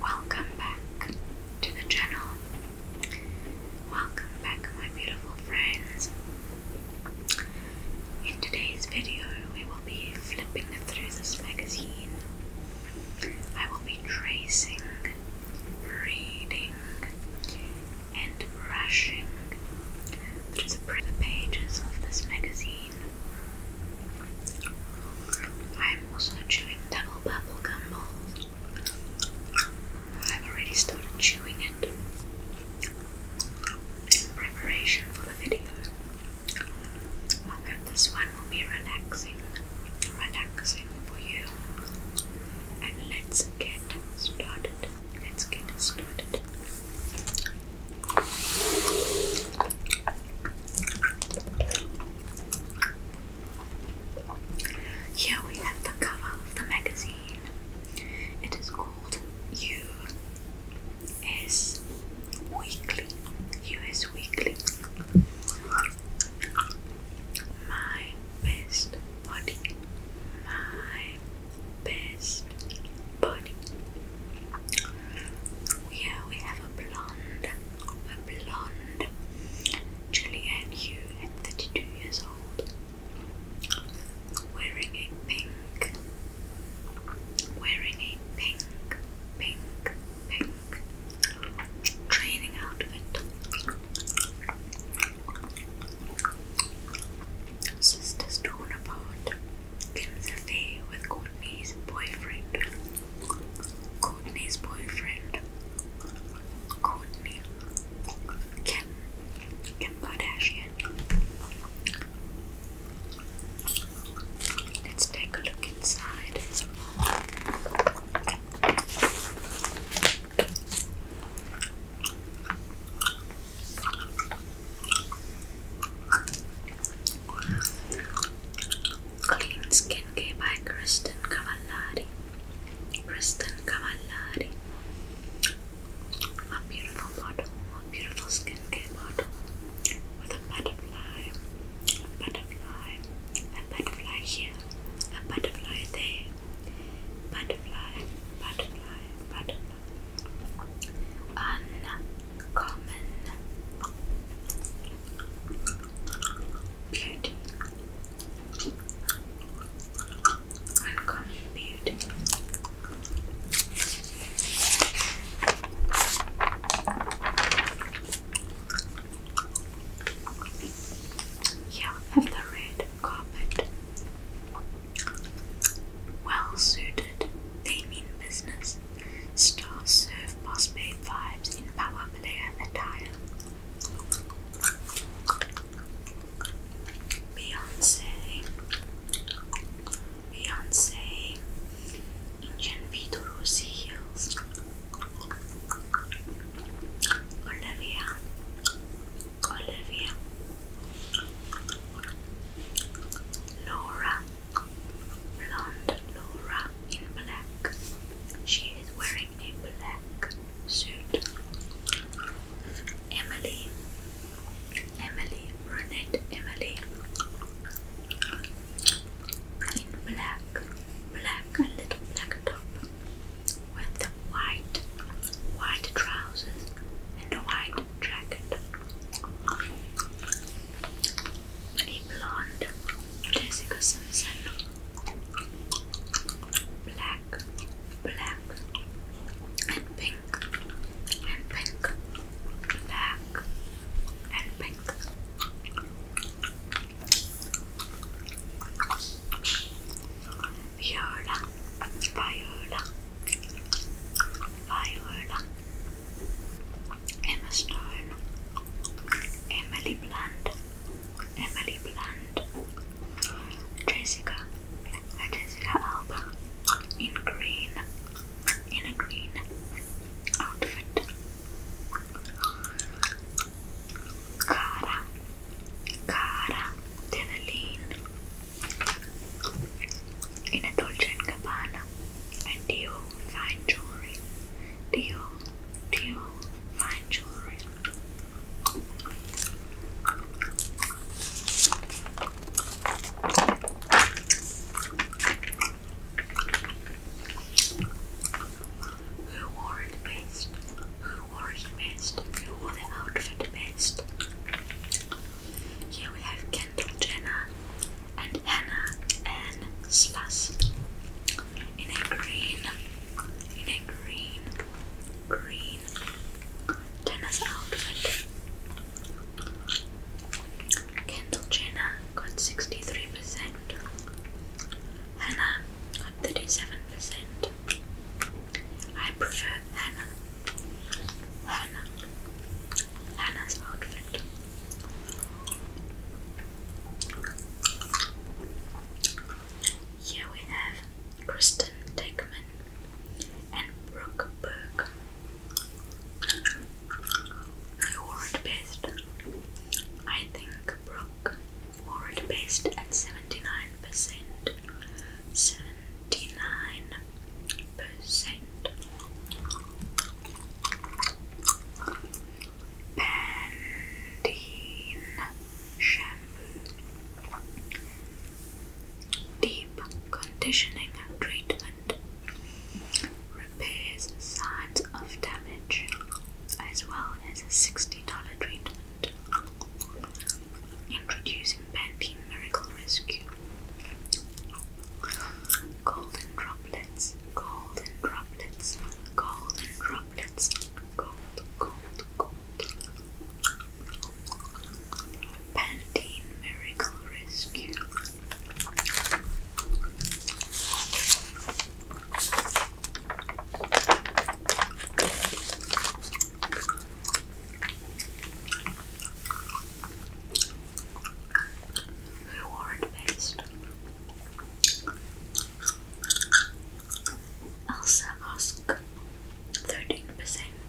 Welcome back to the channel. Welcome back, my beautiful friends. In today's video, we will be flipping through this magazine. I will be tracing, reading, and brushing through the pages of this magazine. I'm also chewing double bubble gum balls. I've already started chewing it in preparation for the video. I hope this one will be relaxing, relaxing for you. And let's get started. Let's get started. Here we have the cover of the magazine. It is called U.S. Weekly. U.S. Weekly. My best body. My best but yeah, we have a blonde, a blonde Julianne Hugh at 32 years old, wearing a pink, wearing a pink, pink, pink training outfit. Sisters torn apart. Ends the day with Courtney's boyfriend. Courtney's boyfriend. Courtney. Kim. Kim Kardashian. Let's take a look inside. Clean skin care by Kristen Cavallari. Kristen Cavallari. A beautiful bottle, a beautiful skincare bottle with a butterfly, a butterfly, a butterfly here, a butterfly there, butterfly, butterfly, butterfly. Anna common beauty, uncommon beauty. Yeah, have the red carpet. Well suited, they mean business. Stars. Stars serve boss babe vibes in power player attire. Beyonce. Beyonce. Inchen Vito Olivia. Olivia. Laura blonde in black. She is wearing a black suit. Emily, Emily, brunette Emily in black, black, a little black top with the white, white trousers and a white jacket a blonde Jessica Simpson, black, black, and pink, and pink, black, and pink. Viola, viola, viola, Emma Stone, Emily Blunt, Emily Blunt, Jessica, Jessica Alba, in green, in a green outfit, Cara, Cara Delevingne, in a Dolce & Gabbana and Dior fine jewelry. Dior, Dior fine jewelry. Who wore it best? Who wore it best? Who wore the outfit best? Here we have Kendall Jenner and Hannah and Spas in a green, in a green, green tennis outfit. Kendall Jenner got 63%, Hannah got 37%. I prefer Hannah. Hannah. Hannah's outfit. Here we have Kristen Dickman and Brooke Burke. Award based. I think Brooke award based at 79%. 79 shampoo, deep conditioning and treatment, repairs signs of damage, as well as a $60 treatment. Introducing Pantene Miracle Rescue golden droplets, golden droplets, golden droplets, gold, gold, gold. Pantene Miracle Rescue reward based. Elsa asked 13%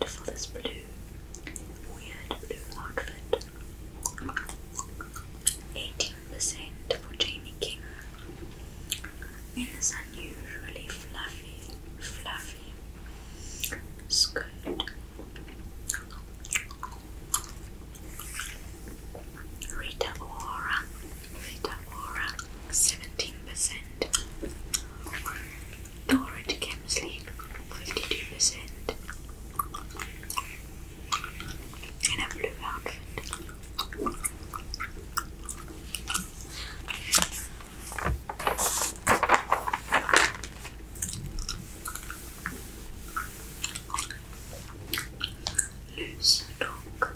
for this blue, weird blue outfit, 18% for Jamie King. It is unusually fluffy, fluffy skirt. Rita Ora, Rita Ora, 17%. Dorrit Kemsley, 52%. In a blue outfit. Luce Talk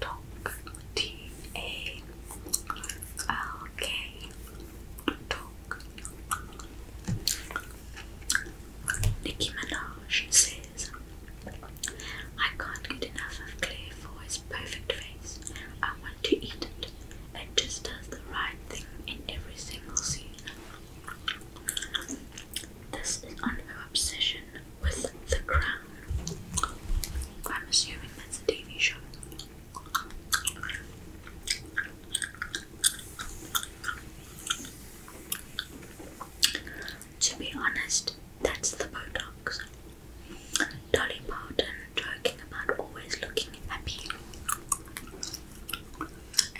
Talk T A L K Talk Nicki Minaj says I can't get enough of Claire Foy's perfect face. I want to eat it. It just does the right thing in every single scene. This is on her obsession with the crown. I'm assuming that's a TV show. To be honest, that's the Botox. Dolly Parton joking about always looking happy.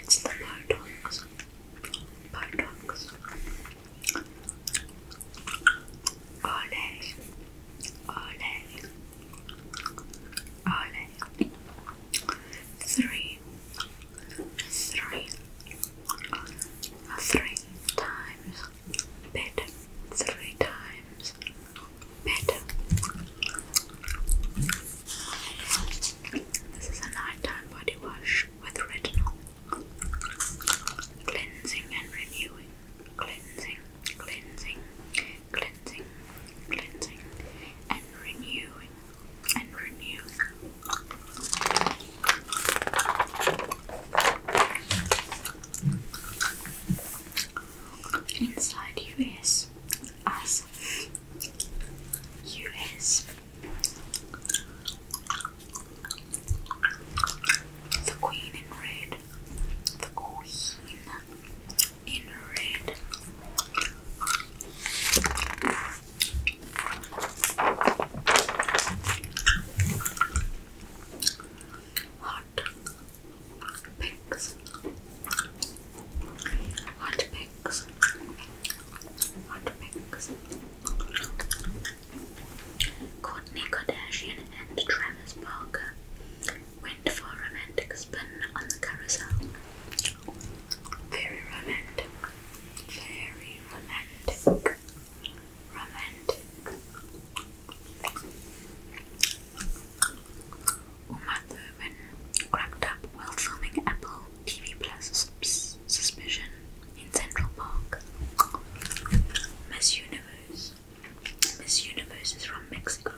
It's the Botox buttocks, ole, ole, ole, three, three, three times, bit, three times, bit. This is a nighttime body wash with retinol. Cleansing and renewing. Cleansing, cleansing, cleansing, cleansing, and renewing, and renewing. Inside you is us US. The Queen in red. The Queen in red. Hot pinks. Hot pinks mix. What Kardashian and Travis went for a romantic spin on the carousel. Very romantic. Very romantic. Romantic. Uma Thurman cracked up while filming Apple TV Plus sus Suspicion in Central Park. Miss Universe. Miss Universe is from Mexico.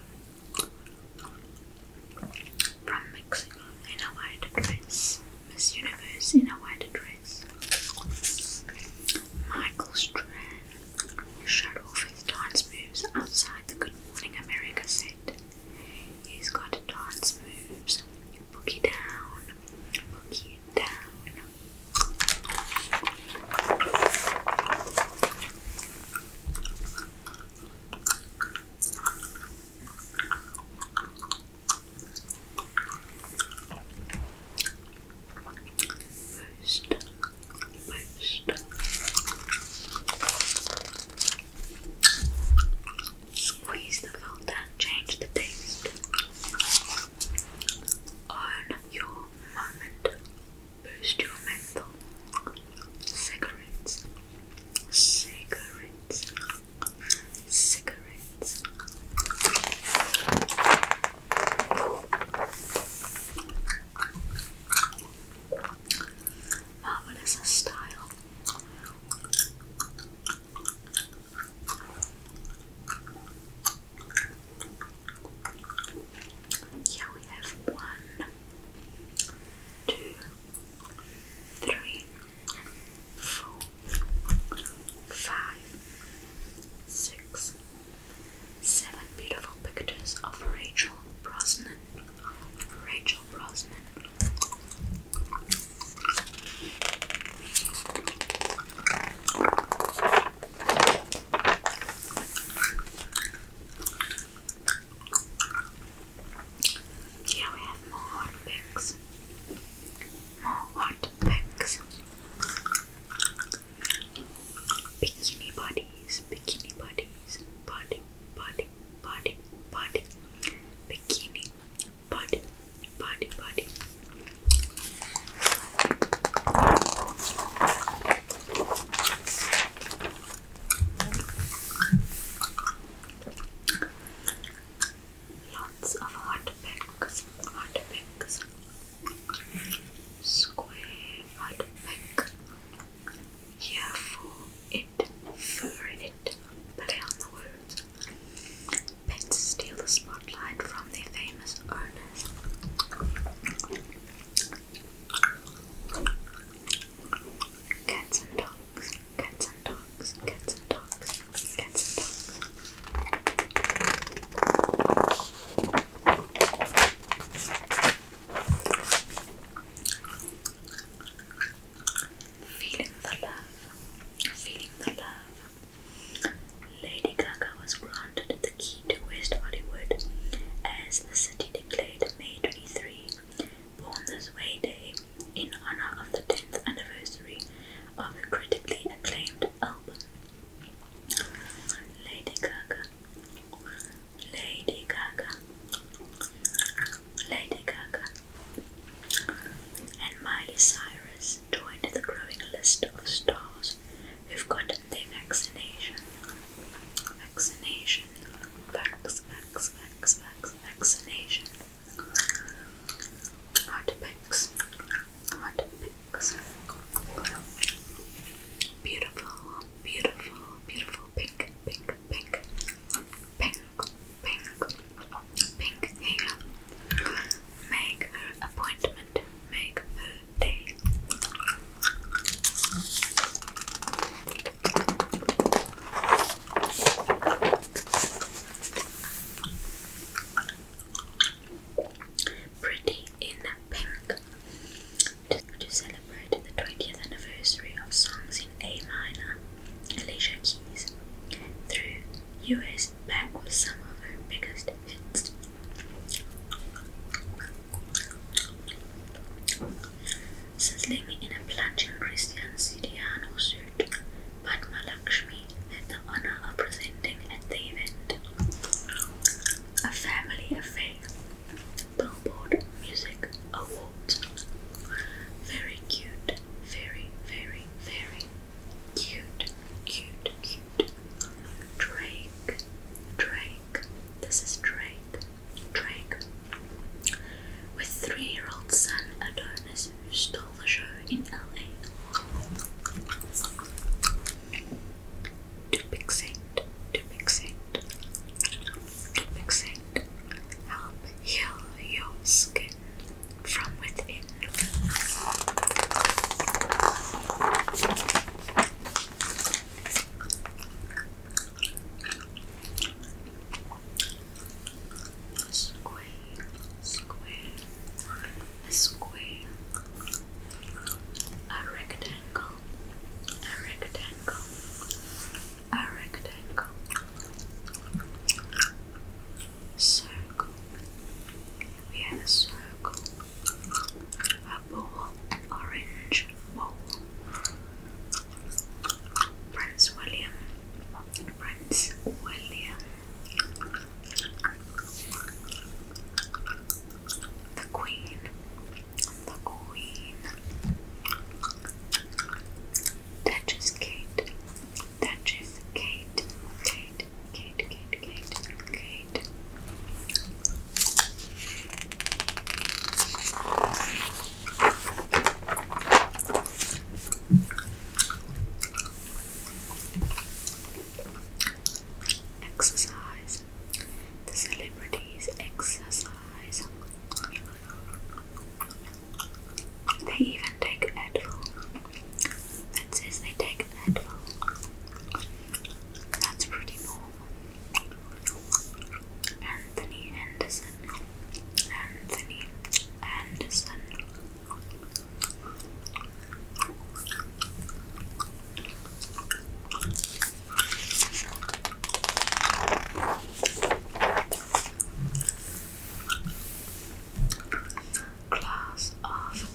From Mexico in a white dress. Miss Universe in a white dress. Michael Strand showed off his dance moves outside the Good Morning America set. He's got dance moves. Boogie down, boogie down. Boost, boost. Squeeze the font change the taste. Own your moment. Boost your mental. Cigarettes. Cigarettes. Cigarettes. Marvelous style. Here we have one, two, three, four, five, six, seven beautiful pictures of Rachel Brosnan. Rachel Brosnan here we have more hot More hot picks. Bikini bodies, bikini bodies body, body, body, body, bikini, body, body, body. Lots of hot packs, hot packs, square hot pack. Here for a it, fur it, play on the words. Pets steal the spotlight from their famous owners. Cats and dogs, cats and dogs, cats and dogs, cats and dogs. Lady Gaga was granted the key to West Hollywood as the city declared May 23, Born This Way Day, in honor of the 10th anniversary of the critically acclaimed album. Lady Gaga, Lady Gaga, Lady Gaga, and Miley Cyrus joined the growing list of stars who've gotten their vaccination. Vaccination. Vax, vax, vax, vax, vaccination. Hot pics. Beautiful, beautiful, beautiful pink, pink, pink, pink, pink, pink hair. Make her appointment, make her day. Pretty in pink. to celebrate the 20th anniversary of Songs a minor, Alicia Keys, through U.S. back with some of her biggest hits. Since in a plunging Christian Sidiano suit, Padma Lakshmi the honor of presenting at the event a family affair Billboard Music Award. Very cute. Very, very, very cute. Cute, cute. Drake. Drake. This is Drake. Drake. With three year old son Adonis who stole the show in LA. To Pixate. To Pixate. Fixate help heal your skin from within. A square, square, a square, a rectangle, a rectangle, a rectangle, circle, we have a circle, a ball, orange ball, Prince William, Prince William, the Queen, the Queen just Kate, Duchess Kate, Kate, Kate, Kate, Kate, Kate. Exercise. The celebrities exercise. They even take Advil. That says they take Advil. That's pretty normal. Anthony Anderson. Anthony Anderson. Class of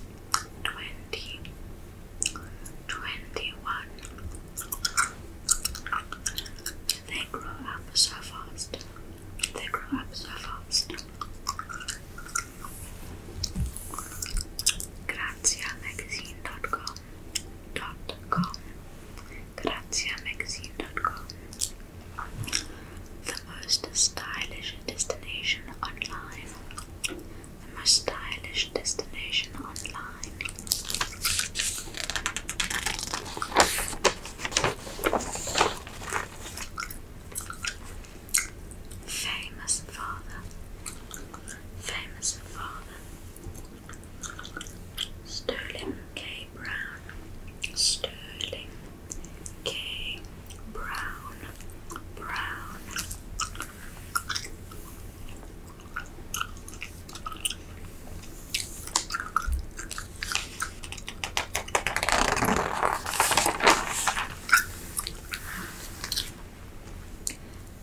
2021. They grow up so fast. They grow up so fast. Graziamagazine.com.com graziamagazine.com. The most stylish destination online. The most stylish destination online. Famous father. Famous father. Sterling K. Brown, Sterling K. Brown, Brown.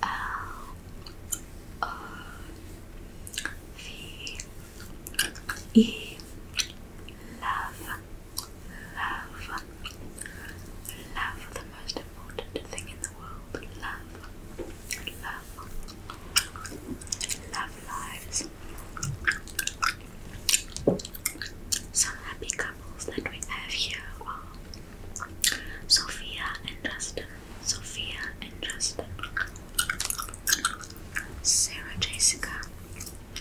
L O V E love, love, love, the most important thing in the world. Love, love, love lives. Some happy couples that we have here are Sophia and Justin. Sophia and Justin. Sarah Jessica,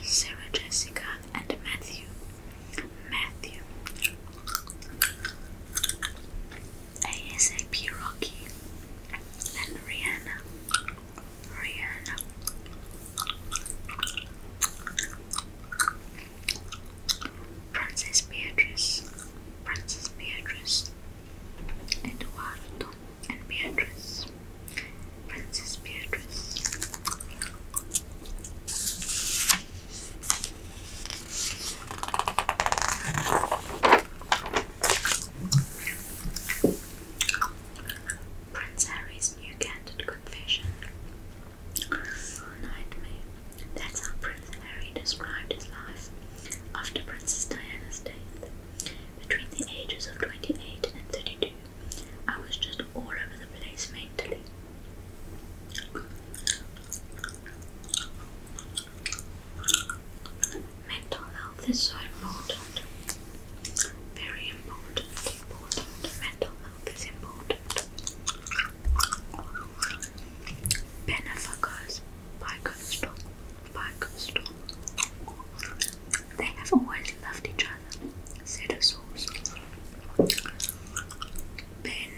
Sarah Jessica, and Matthew, Matthew. ASAP Rocky and Rihanna, Rihanna. Princess Beatrice, Princess Beatrice, Eduardo, Beatrice. Princess Beatrice. Prince Harry's new candid confession. nightmare. That's how Prince Harry described his life after Princess Diana's death. Between the ages of 28 and 32, I was just all over the place mentally. Mental health is important. Very important. Important. Mental health is important. Benefacos by Coastal. They have always loved each other, said Ben,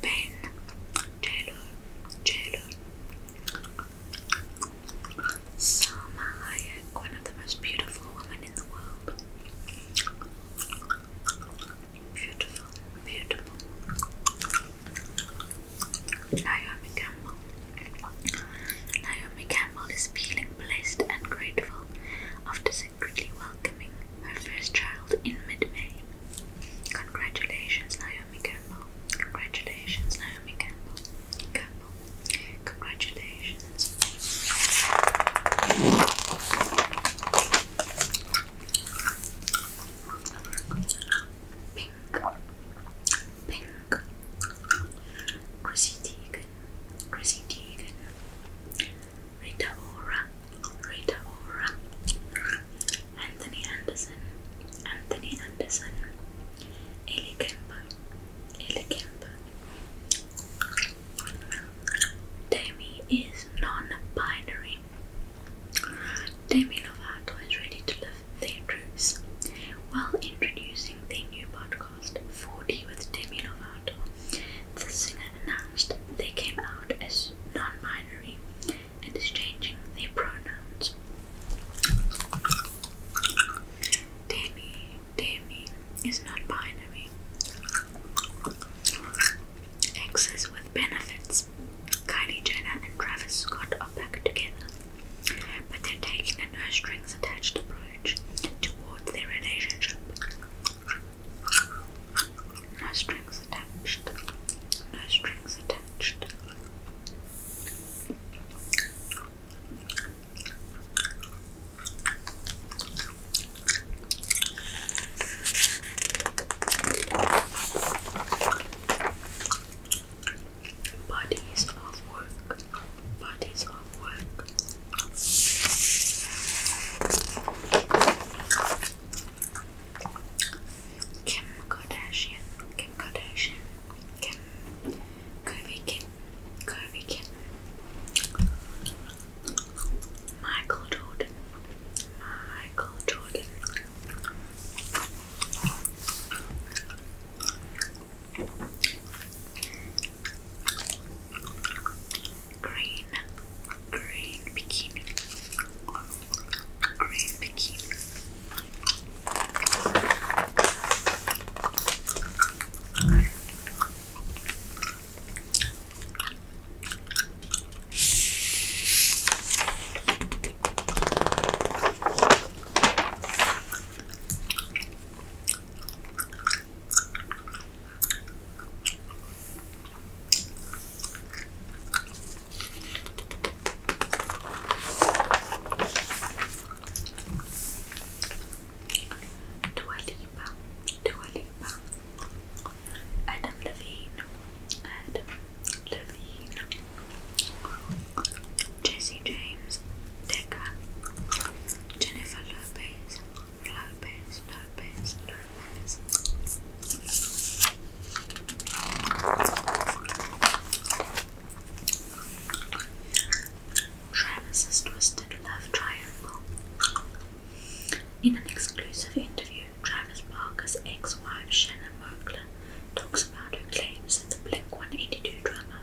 Ben, Taylor, Taylor. Salma one of the most beautiful women in the world. Beautiful, beautiful. Naomi Campbell. Naomi Campbell is feeling blessed and grateful after secretly welcoming her first child in mid-May. Congratulations, Naomi Campbell. Congratulations, Naomi Campbell. Campbell. Congratulations. Pink. Pink. Chrissy Teigen, Chrissy Teigen, Rita Ora, Rita Ora, Anthony Anderson, Anthony Anderson, Ellie Kemper, Ellie Kemper. Demi is non-binary. Demi Lovato is ready to learn their truths while introducing their new podcast, 4D with Demi Lovato. The singer announced they came out as non-binary and is changing their pronouns. Demi, Demi is non-binary. Exes with benefits. Kylie Jenner and Travis Scott are back together but they're taking a no strings attached approach towards their relationship. No strings attached. No strings attached. Bodies of work, bodies of work. Kim Kardashian, Kim Kardashian, Kim, Curvy Kim, Curvy Kim. Michael Jordan, Michael Jordan. Green, green bikini, green bikini. Dua Lipa, Adam Levine, Adam Levine. Jesse James, Decker, Jennifer Lopez, Lopez, Lopez, Travis's Twisted Love Triangle. In an exclusive interview, Travis Barker's ex wife Shannon Moakler talks about her claims that the Blink 182 drama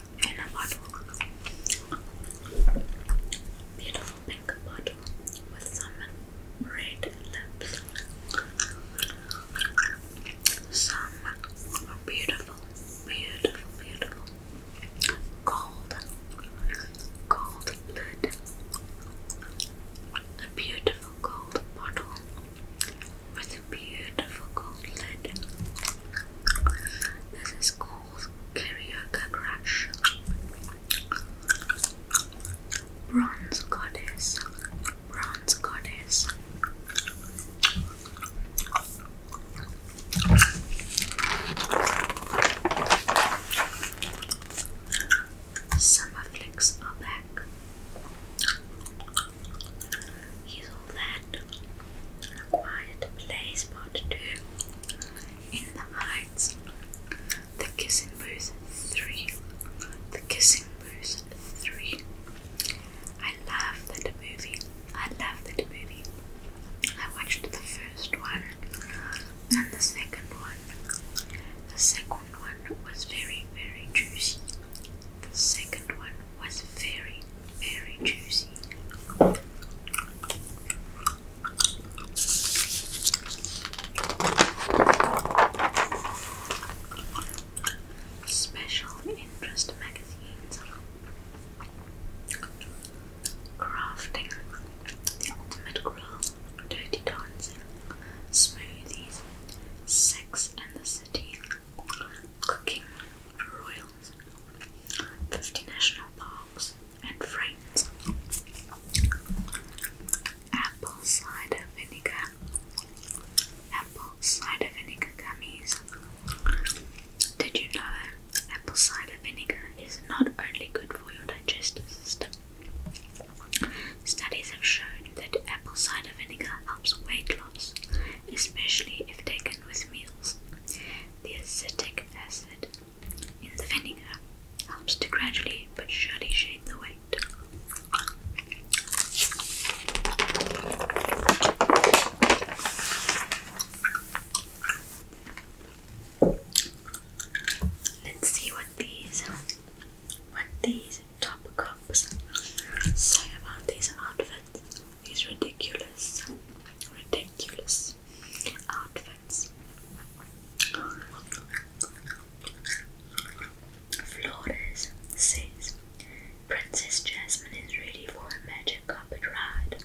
in a bottle. Beautiful pink bottle with some red lips. Some beautiful, beautiful, beautiful gold, gold lid. A beautiful gold bottle with a beautiful gold lid. This is called Karaoke Crash. Bronze Goddess. Bronze Goddess. Summer are back. His land acquired a play spot two in the Heights, the Kissing Booth three, the Kissing Booth three. I love that movie. I love that movie. I watched the first one and the second one. The second one was very, very juicy. The second one was very, very juicy. Special interest magazines. Crafting, the ultimate grill, dirty dancing, smoothies, sex and the city, cooking royals, 50 national parks, and friends. Apple cider vinegar, apple cider vinegar gummies. Did you know apple cider vinegar is not only good for your digestive system? Studies have shown that apple cider vinegar helps weight loss especially if taken with meals. The acetic acid in the vinegar helps to gradually but surely shade the weight. Let's see what these what these top say about these outfits these ridiculous, ridiculous outfits. Flores says Princess Jasmine is ready for a magic carpet ride.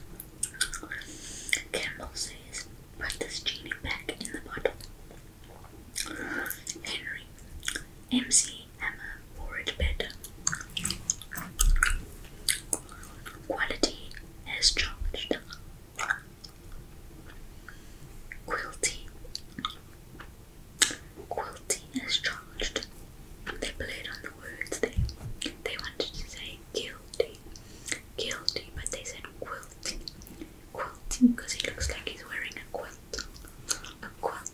Campbell says, put this genie back in the bottle. Henry, MC Emma Forage Bed. Quality is charged. Quilty. Quilty is charged. They played on the words they they wanted to say guilty. Guilty, but they said quilty. Quilty because he looks like he's wearing a quilt. A quilt.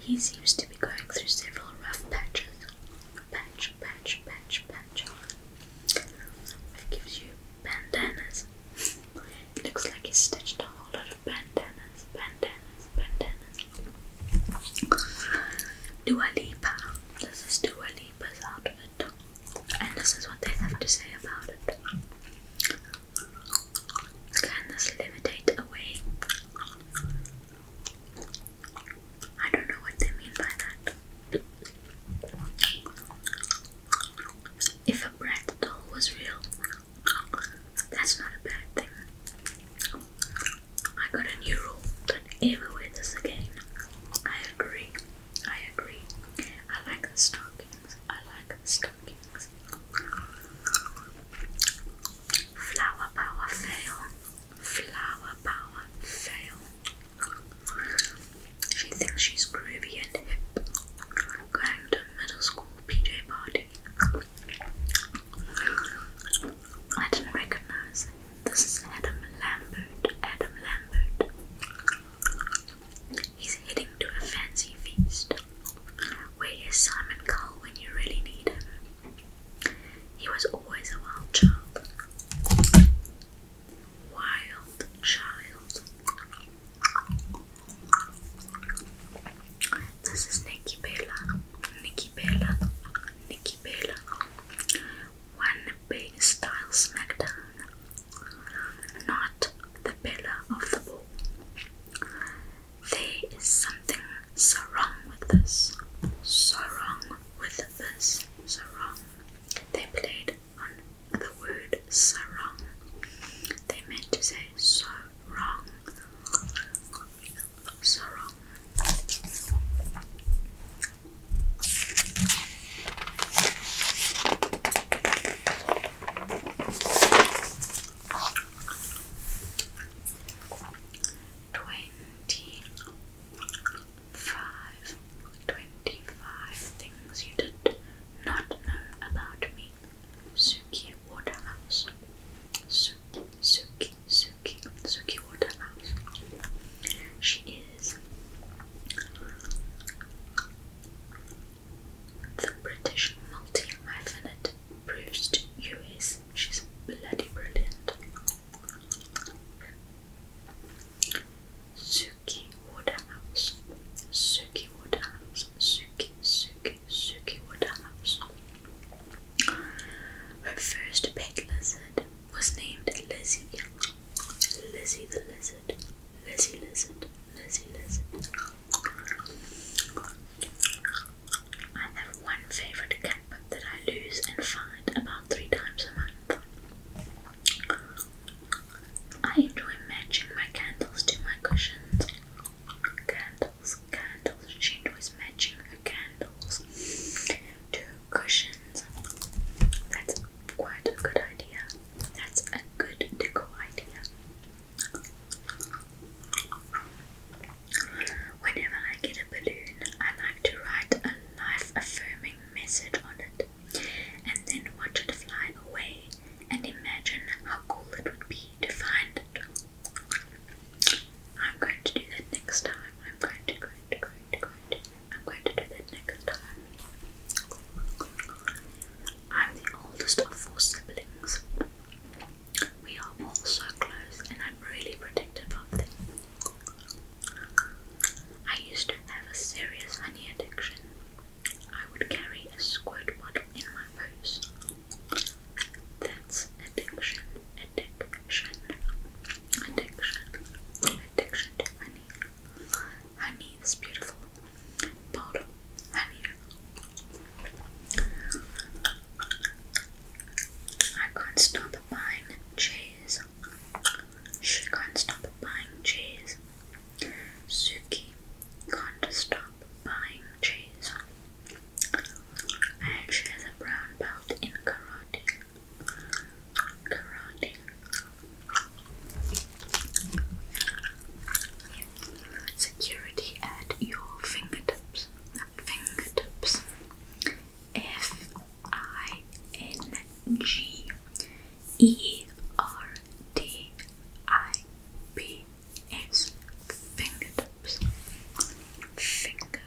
He seems to be going through several rough patches. Patch, patch, patch, patch. It gives you bandanas. It looks like he's stitched a whole lot of bandanas, bandanas, bandanas. Dua Lipa. This is Dua Lipa's outfit. And this is what they have to say about it. Can this levitate away? I don't know what they mean by that. If a brat doll was real, that's not a bad thing. I got a new rule. Don't ever wear this again. I agree. I agree. I like the stockings. I like the stockings. Flower power fail. Flower power fail. She thinks she's groovy and hip. Going to middle school PJ party. I didn't recognize This Adam Lambert. Adam Lambert. He's heading to a fancy feast. Where is Simon Cowell when you really need him? He was always a wild child. Wild child. This is Nikki Bella. Nikki Bella. Nikki Bella. One big style smackdown. Not the pillar of the ball. There is something so wrong with this, so wrong with this, so wrong. They played on the word so wrong. They meant to say so wrong, so wrong. Twenty five. things you did not know about me. Suki Waterhouse. Suki, Suki, Suki, Waterhouse. She is the British multi hyphenate, proves she's bloody brilliant. Suki Woodhouse, Suki Woodhouse, Suki, Suki, Suki Woodhouse. Her first pet lizard was named Lizzie. Lizzie the lizard, Lizzie lizard, Lizzie lizard. I have one favourite cap that I lose and find about three times a month. I enjoy matching my candles to my cushions. Candles, candles. She enjoys matching her candles to cushions. That's quite a good idea. That's a good deco idea. Whenever I get a balloon, I like to write a life affirming message on it and then watch it fly away and imagine how cool it would be to find it. I'm going to do that next time. I'm going to, going to, going to, going to. I'm going to do that next time. I'm the oldest of four siblings. We are all close, and I'm really protective of them. I used to have a serious honey addiction. I would carry a squirt bottle in my purse. That's addiction, addiction, addiction, addiction to honey. Honey is beautiful. Bottle, honey. I can't stop buying cheese. She can't stop buying cheese. Suki can't stop buying cheese. And she has a brown belt in karate. Karate. Security at your fingertips fingertips. F I N G E R T I P S fingertips. Finger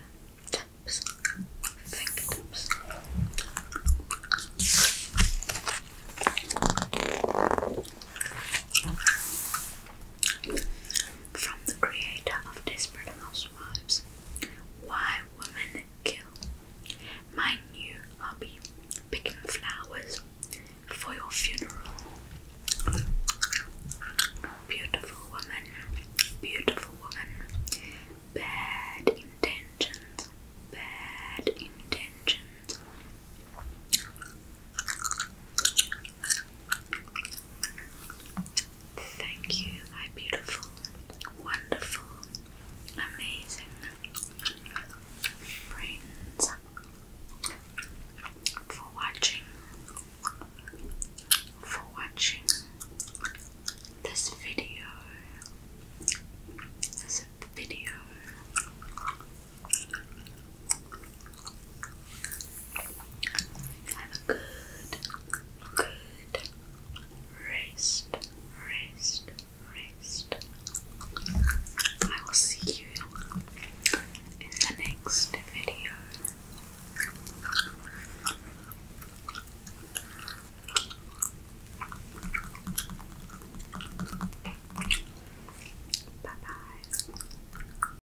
tips. Fingertips. From the creator of Desperate Housewives Why Women Kill. My new hobby picking flowers for your funeral. Beautiful woman, beautiful woman, bad intentions, bad intentions. Thank you, my beautiful, wonderful, amazing friends for watching for watching this video this video have a good, good rest, rest, rest. I will see you in the next video. Bye bye.